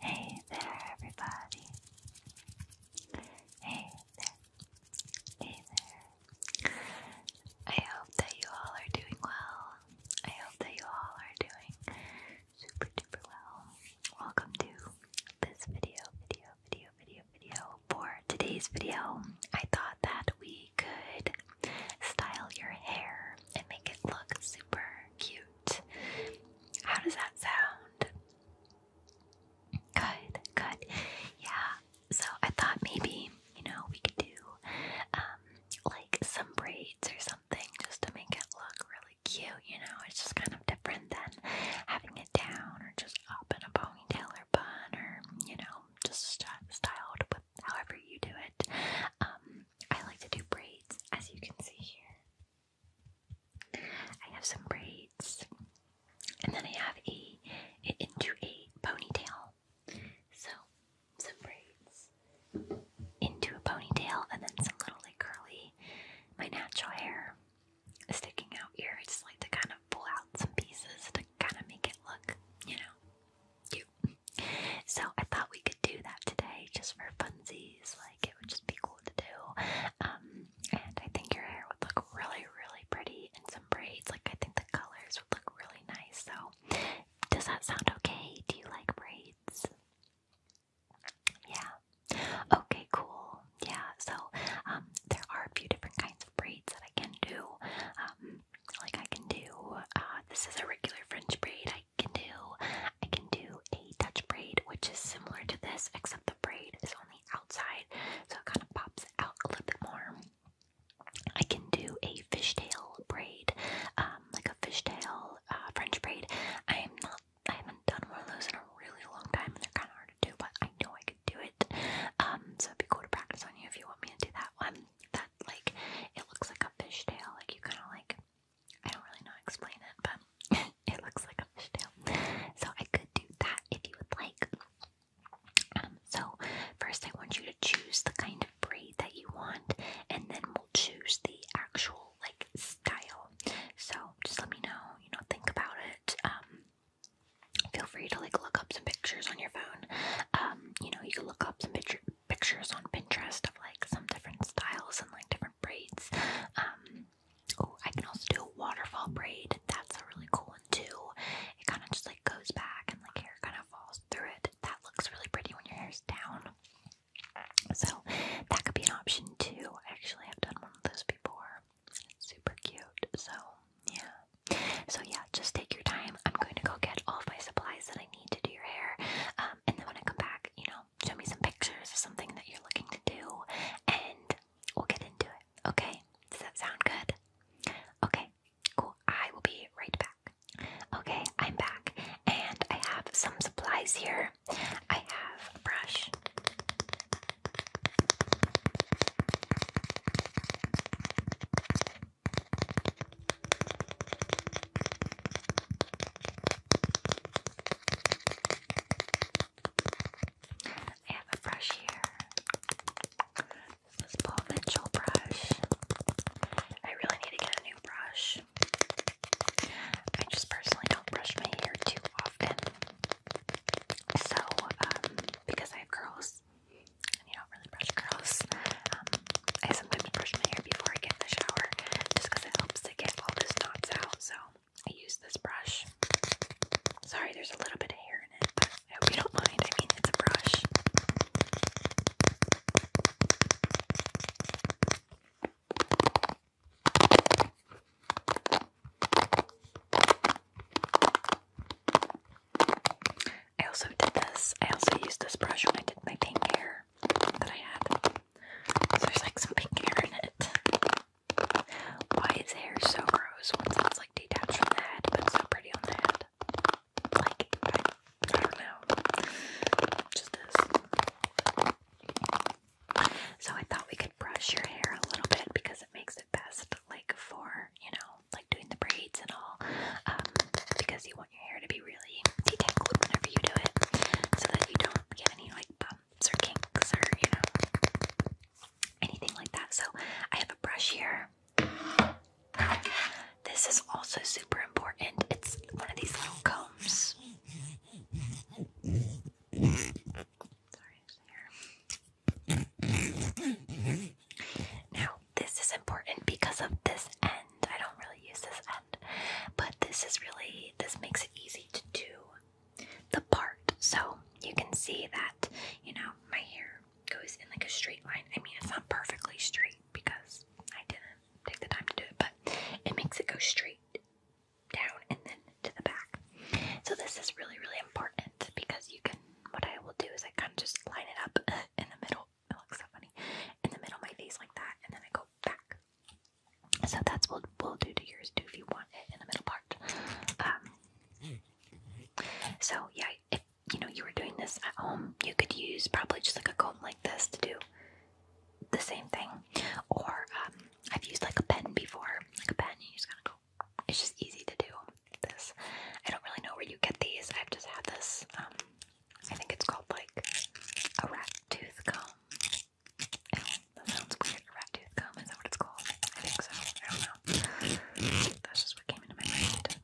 Hey there, everybody. Hey there. Hey there. I hope that you all are doing well. I hope that you all are doing super duper well. Welcome to this video, video, video, video, video. For today's video, I thought that we could style your hair and make it look super cute. How does that sound? Good, good. Yeah, so I thought maybe, you know, we could do um, like some braids or something just to make it look really cute, you know? It's just kind of different than having it down or just up in a ponytail or bun or, you know, just styled with however you do it. Um, I like to do braids, as you can see here. I have some braids, and then I have a into a ponytail. So some braids into a ponytail, and then some little like curly, my natural hair sticking out here. I just like to kind of pull out some pieces to kind of make it look, you know, cute. So I thought we could do that today just for funsies. Like it would just be cool to do. Um, and I think your hair would look really, really pretty in some braids. Like I think the colors would look really nice. So does that sound okay? Do you like braids? Yeah. Okay, cool. Yeah, so um, there are a few different kinds of braids that I can do. Um, like I can do, uh, this is a regular French braid. I can do, I can do a Dutch braid, which is similar to this, except the braid is on the outside, so it kind of pops out a little bit more. I can do a fishtail braid, um, like a fishtail uh, French braid. I am not, I haven't done one of those in a really long time, and they're kind of hard to do, but I know I could do it. Um, so it'd be cool to practice on you if you want me to do that one. That like it looks like a fishtail. Like you kind of like I don't really know explain it, but it looks like a fishtail. So I could do that if you would like. Um, so first, I want you to choose the kind of braid that you want, and then we'll choose the actual like style. So just let me know. You know, think about it. Um, feel free to like look up some pictures on your phone. Um, you know, you can look up some pictures pictures on Pinterest of like some different styles and like different braids. Um, oh, I can also do a waterfall braid. That's a really cool one too. It kind of just like goes back and like hair kind of falls through it. That looks really pretty when your hair's down. So that could be an option too. Actually, I have done one of those before. super cute. So yeah. So yeah, just take your time. I'm going to go get all of my supplies that I need to do your hair. Um, and then when I come back, you know, show me some pictures of something that you're looking to do, and we'll get into it. Okay? Does that sound good? Okay, cool. I will be right back. Okay, I'm back, and I have some supplies here. I have a brush. I have a brush here. This Paul Mitchell brush. I really need to get a new brush. I just personally don't brush my hair too often. So, um, because I have curls, and don't really brush curls. Um, I sometimes brush my hair before I get in the shower just it helps to get all those knots out. So I use this brush. Sorry, there's a little bit of hair in it, I hope you don't mind. I mean, it's a brush. I also did this. I also used this brush when I did my pink hair that I had. there's like some pink hair in it. Why is hair so gross once it's like detached from the head, but so pretty on the head? Like, I, don't know. Just this. So I thought we could brush your hair a little bit because it makes it best, like, for, you know, like doing the braids and all, um, because you want your hair to be really detangled whenever you do it, so that you don't get any like bumps or kinks or you know anything like that. So I have a brush here. This is also super important. It's one of these little combs. Sorry, hair this is important because of this end. I don't really use this end, but this is really, this makes it easy to do the part. So you can see that, you know, my hair goes in like a straight line. I mean, it's not perfectly straight because I didn't take the time to do it, but it makes it go straight down and then to the back. So this is really, really important because you can, what I will do is I kind of just line it up in the middle it looks so funny. In the middle of my face like that, and then I go back. So that's what we'll do to yours too if you want it in the middle part. Um, so yeah, if you know you were doing this at home, you could use probably just like a comb like this to do the same thing. Or um, I've used like a pen before, like a pen. You just gotta go. It's just easy to do this. I don't really know where you get these. I've just had this. Um, I think it's called like a rat tooth comb. that sounds weird. rat tooth comb, is that what it's called? I think so. I don't know. That's just what came into my mind.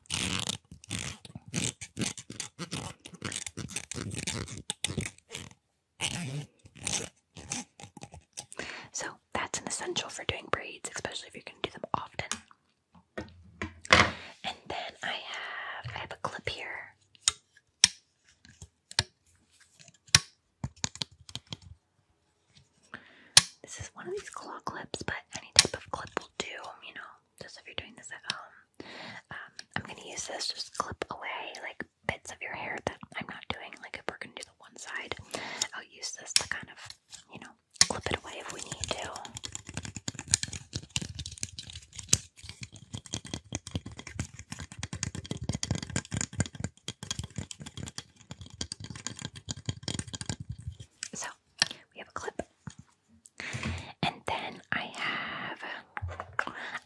So that's an essential for doing braids, especially if you're going to do them often. And then I have I have a clip here. This is one of these claw clips, but any type of clip will do, you know, just if you're doing this at home. Um, I'm gonna use this, just clip away like bits of your hair that I'm not doing, like if we're gonna do the one side, I'll use this to kind of, you know, clip it away if we need to. So we have a clip, and then I have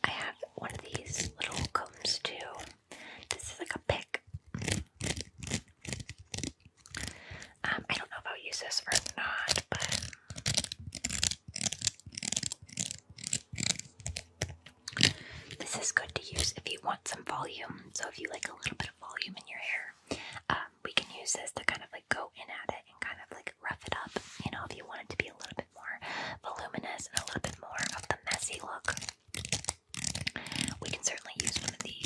I have one of these little combs too. This is like a pick. Um, I don't know if I'll use this or not, but this is good to use if you want some volume. So if you like a little bit of volume in your hair, um, we can use this to kind of like go in at it and kind of like rough it up. You know, if you want it to be a little bit more voluminous and a little bit more of the messy look, we can certainly use one of these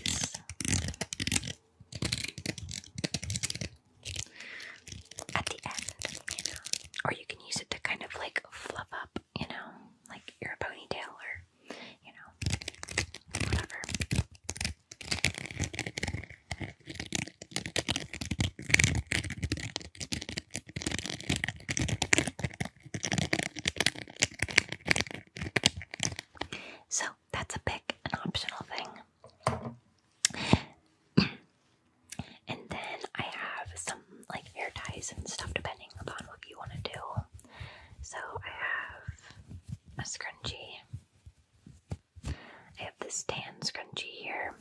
at the end, you know. Or you can use it to kind of like fluff up, you know, like your ponytail or, you know, whatever. So, that's a pick, an optional thing. and then I have some like hair ties and stuff depending upon what you want to do. So I have a scrunchie. I have this tan scrunchie here.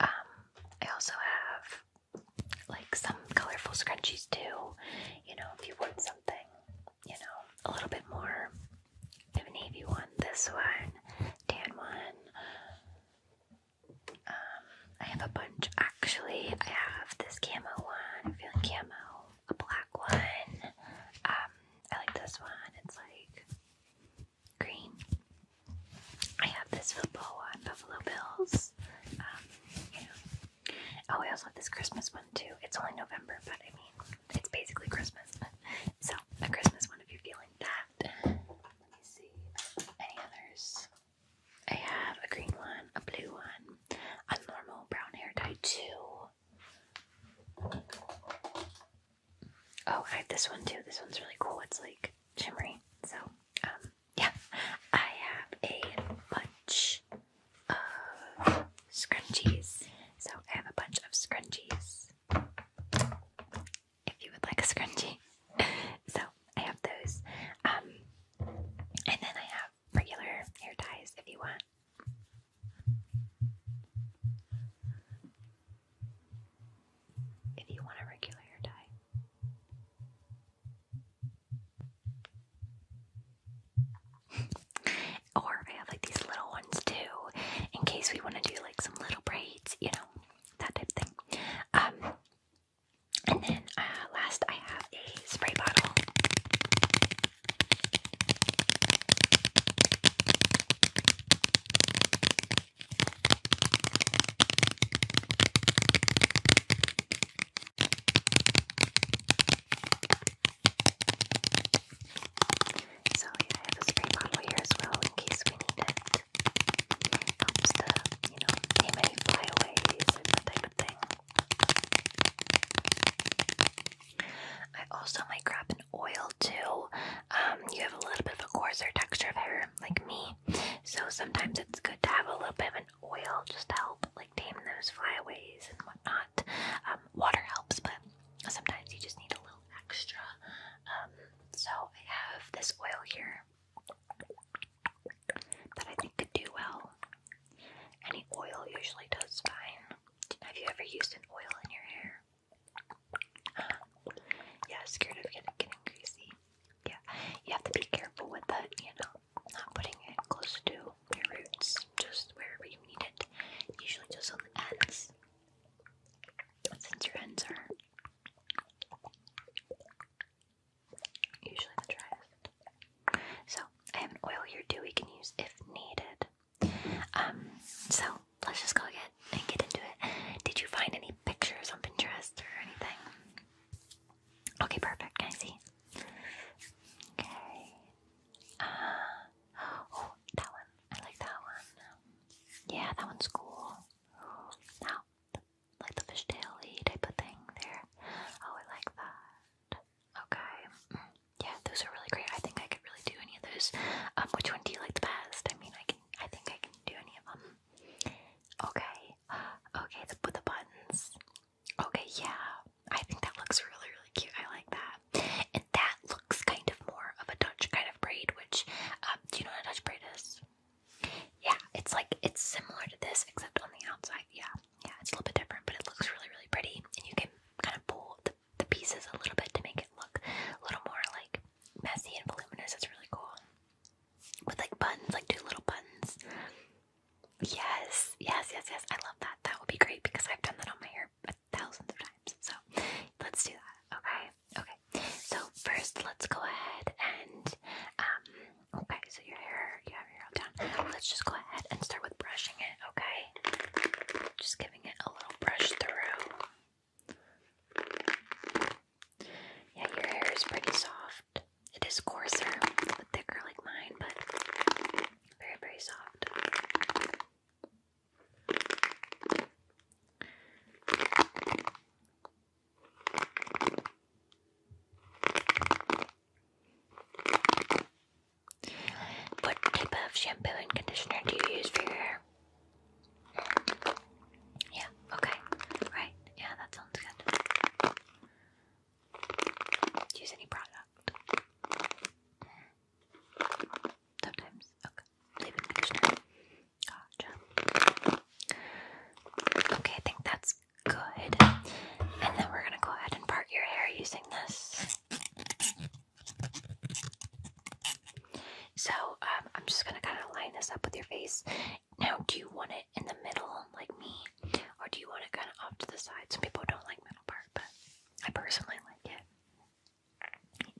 Um, I also have like some colorful scrunchies too. You know, if you want something you know, a little bit more of a navy one. This one, tan one. Um, I have a bunch actually. I have this camo one. I'm feeling camo. A black one. Um, I like this one. It's like green. I have this football one, Buffalo Bills. Um, you know, Oh, I also have this Christmas one too. It's only November, but I mean, it's basically Christmas. So, a Christmas one if you're feeling that. Let me see. Any others? I have a green one, a blue one, a normal brown hair dye too. Oh, I have this one too. This one's really cool. It's like shimmery. So, um, yeah. I have a bunch of scrunchies. So I have a bunch of scrunchies. If you would like a scrunchie. so I have those. Um, and then I have regular hair ties if you want. If you want a regular hair tie or I have like these little ones too, in case we want to do like some little braids, you know, that type of thing. Um, and then uh, last, I have a spray bottle. So I have a spray bottle here as well in case we need it. it to, you know, name any flyaways and that type thing. I also might grab an oil too. Um, you have a little bit of a coarser texture of hair, like me, so sometimes it's good to have a little bit of an oil just to help like tame those flyaways and whatnot. Um, water helps, but sometimes you just need a little extra. Um, so I have this oil here that I think could do well. Any oil usually does fine. Have you ever used an oil in your hair? Uh, yeah, scared of getting, getting greasy. Yeah, you have to be careful with that, you know not putting it close to my roots, just wherever you need it, usually just on the ends, since your ends are usually the driest. So, I have an oil here too we can use if needed. Um, so, let's just go get and get into it. Did you find any pictures on Pinterest or anything? Okay, perfect. Can I see? Okay. Uh, oh, that one. I like that one. Yeah, that one's cool. Now, like the fishtail-y type of thing there. Oh, I like that. Okay. Mm, yeah, those are really great. I think I could really do any of those. Um, which one do you like the best? I mean, I can. I think I can do any of them. Okay. Okay, the, the buttons. Okay, yeah. I think that looks really, really cute. I like that. And that looks kind of more of a Dutch kind of braid, which, um, do you know what a Dutch braid is? Yeah, it's like, it's similar to this, except on the outside. Yeah, yeah, it's a little bit different, but it looks really, really pretty. And you can kind of pull the, the pieces a little bit to make it look a little more like messy and voluminous. That's really cool. With like buttons, like two little buttons. Yes, yes, yes, yes. I love that. That would be great because I've done that on my hair thousands of times. So let's do that. Okay, okay. So first, let's go ahead and um. Okay, so your hair, you your hair down. Let's just go ahead and start with brushing it. Okay, just giving it a little brush through. Yeah, your hair is pretty soft. It is coarser, but thicker like mine, but very, very soft. What type of shampoo and conditioner do you use for your hair? Yeah, okay. Right. Yeah, that sounds good. Use any product. Sometimes. Okay. Leave in the Gotcha. Okay, I think that's good. And then we're gonna go ahead and part your hair using this. So um, I'm just gonna kind of line this up with your face. Now, do you want in the middle like me, or do you want it kind of off to the side? Some people don't like middle part, but I personally like it.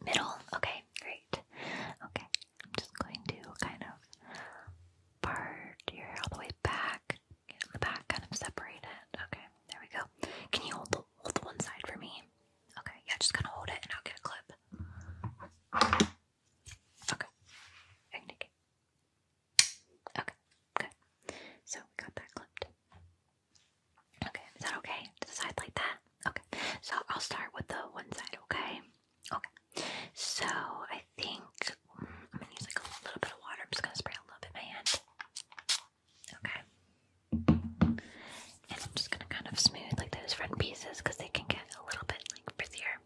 Middle, okay, great. Okay, I'm just going to kind of part your hair all the way back, in the back, kind of separate it. Okay, there we go. Can you hold the, hold one side for me? Okay, yeah, just kind of hold it and I'll get a clip. Okay, I Okay, good. So we got that clipped. Okay, is that okay? To the side like that? Okay, so I'll start with the one side, okay? Okay, so I think I'm gonna use like a little bit of water. I'm just gonna spray a little bit in my hand. Okay. And I'm just gonna kind of smooth like those front pieces because they can get a little bit like frizzier.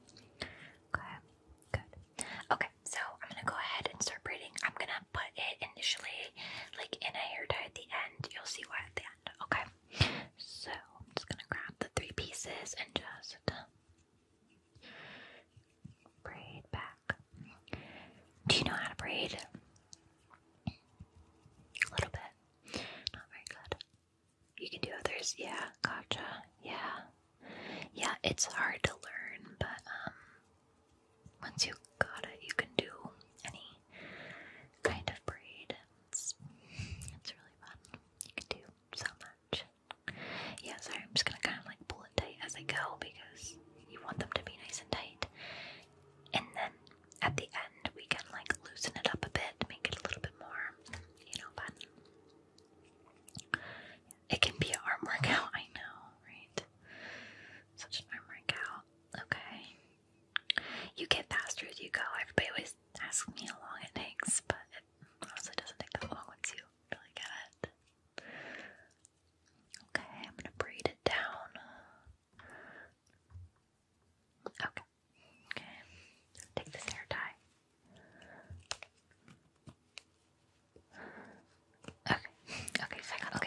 Okay, good. Okay, so I'm gonna go ahead and start braiding. I'm gonna put it initially like in a hair tie at the end. You'll see why at the end. Okay, so I'm just gonna grab the three pieces and just uh, braid back. Do you know how to braid? A little bit. Not very good. You can do others. Yeah, gotcha. Yeah. Yeah, it's hard to learn, but um once you got it, you can do any kind of braid. It's, it's really fun. You can do so much. Yeah, sorry, I'm just gonna kind of like pull it tight as I go because you want them to be nice and tight. And then at the end, we can like loosen it up a bit, make it a little bit more, you know, fun. It can be an arm workout, I know, right? Such an arm workout. Okay. You get faster as you go. Everybody always asks me how long it takes, but it also doesn't take that long once you really get it. Okay, I'm gonna braid it down. Okay. Okay. Take this hair tie. Okay, okay,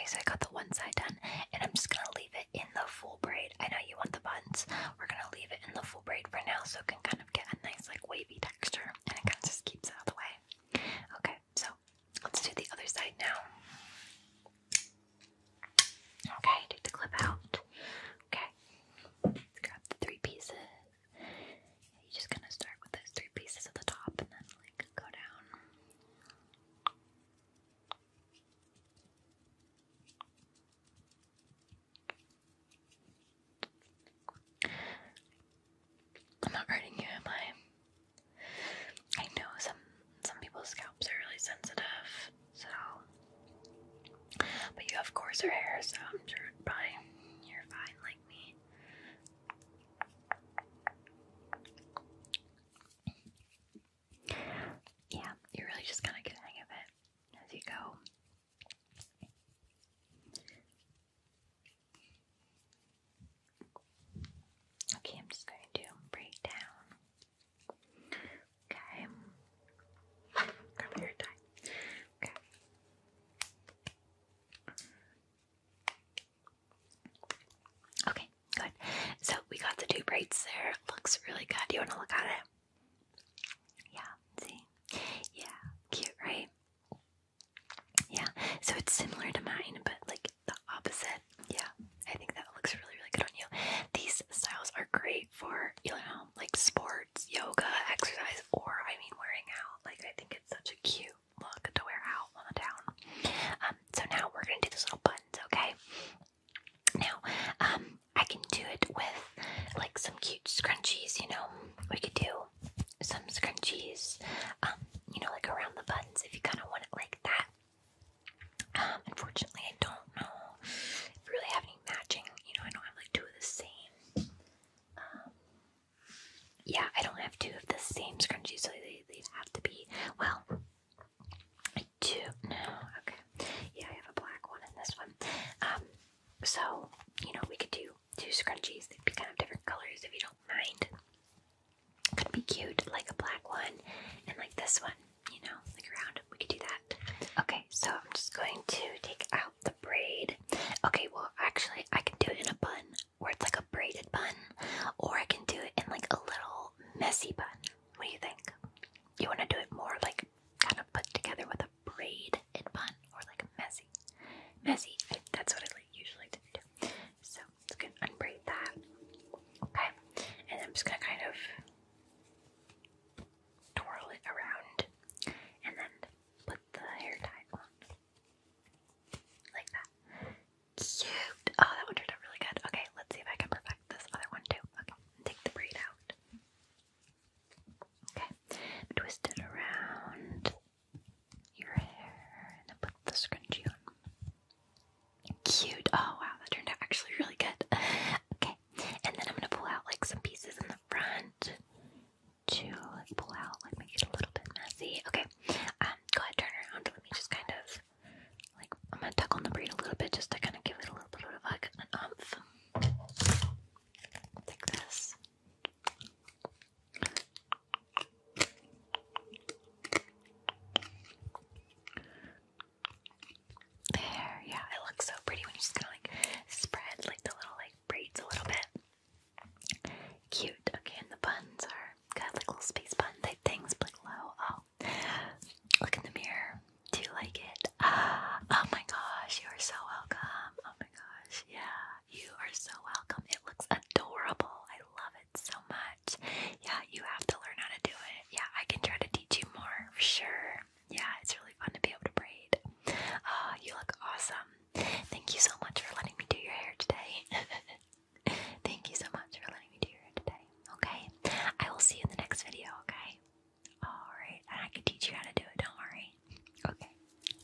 so I got the one side done, and I'm just gonna leave it in the full braid. I know you want the buns. We're gonna leave it in the full braid for now, so it can kind of get a nice like wavy texture, and it kind of just keeps out the way. Okay, so let's do the other side now. Okay, take the clip out. Okay, grab the three pieces you just gonna start with those three pieces at the top and then like go down. I'm not hurting you, am I? I know some some people's scalps are really sensitive, so but you have coarser hair, so I'm sure probably you're fine like me. Yeah, you really just kind of get hang of it as you go. Okay, I'm just going to break down. Okay, grab your tie. Okay. Okay, good. So we got the two braids there. looks really good. Do You want to look at it? Yeah, see? Yeah, cute, right? Yeah, so it's similar to mine, but like the opposite. Yeah, I think that looks really, really good on you. These styles are great for, you know, um, like sports, yoga, exercise, or I mean wearing out. Like I think it's such a cute look to wear out on the town. Um, so now we're gonna do these little buttons, okay? Now, um, I can do it with like some cute scrunchies. You know, we could do some scrunchies. Um, you know, like around the buttons if you kind of want it like that. Um, unfortunately, I don't know if we really have any matching. You know, I don't have like two of the same um, yeah, I don't have two of the same scrunchies, so they, they'd have to be, well, two. no, okay. Yeah, I have a black one and this one. Um, so, you know, we could do two scrunchies. They'd be kind of different colors if you don't mind. Could be cute, like a black one and like this one, you know, like around. We could do that. Okay, so I'm just going to take out the braid. Okay, well, actually, I can do it in a bun or it's like a braided bun, or I can do it in like a little messy bun. What do you think? You want to do it more like kind of put together with a braid and bun, or like a messy? Messy, that's what I usually do. So, I'm going to unbraid that. Okay, and I'm just going to kind of twirl it around, and then put the hair tie on. Like that. Cute! Oh, that one turned out really good. Okay, let's see if I can perfect this other one too. Okay, take the braid out. Okay, twist it around your hair and then put the scrunchie on. Cute! Oh wow, that turned out actually really good. Okay, and then I'm gonna pull out like some pieces in the front to like, pull out, like make it a little bit messy. Okay, um, go ahead, turn around. Let me just kind of like I'm gonna tuck on the braid a little bit just to kind of give it a little bit of like an umph, like this. There, yeah, it looks so pretty when you just kind of like spread like the little like braids a little bit. Cute. Okay, and the buns are got like little space bun type things, but low. Oh, look in the mirror. Do you like it? oh my gosh, you are so welcome. Oh my gosh, yeah, you are so welcome. It looks adorable. I love it so much. Yeah, you have to learn how to do it. Yeah, I can try to teach you more for sure. Yeah, it's really fun to be able to braid. Uh, you look awesome. Thank you so much for letting me do your hair today. Thank you so much for letting me do your hair today. Okay, I will see you in the next video. Okay. All right, and I can teach you how to do it. Don't worry. Okay.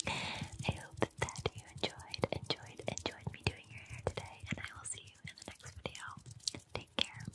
I hope that you enjoyed, enjoyed, enjoyed me doing your hair today, and I will see you in the next video. Take care.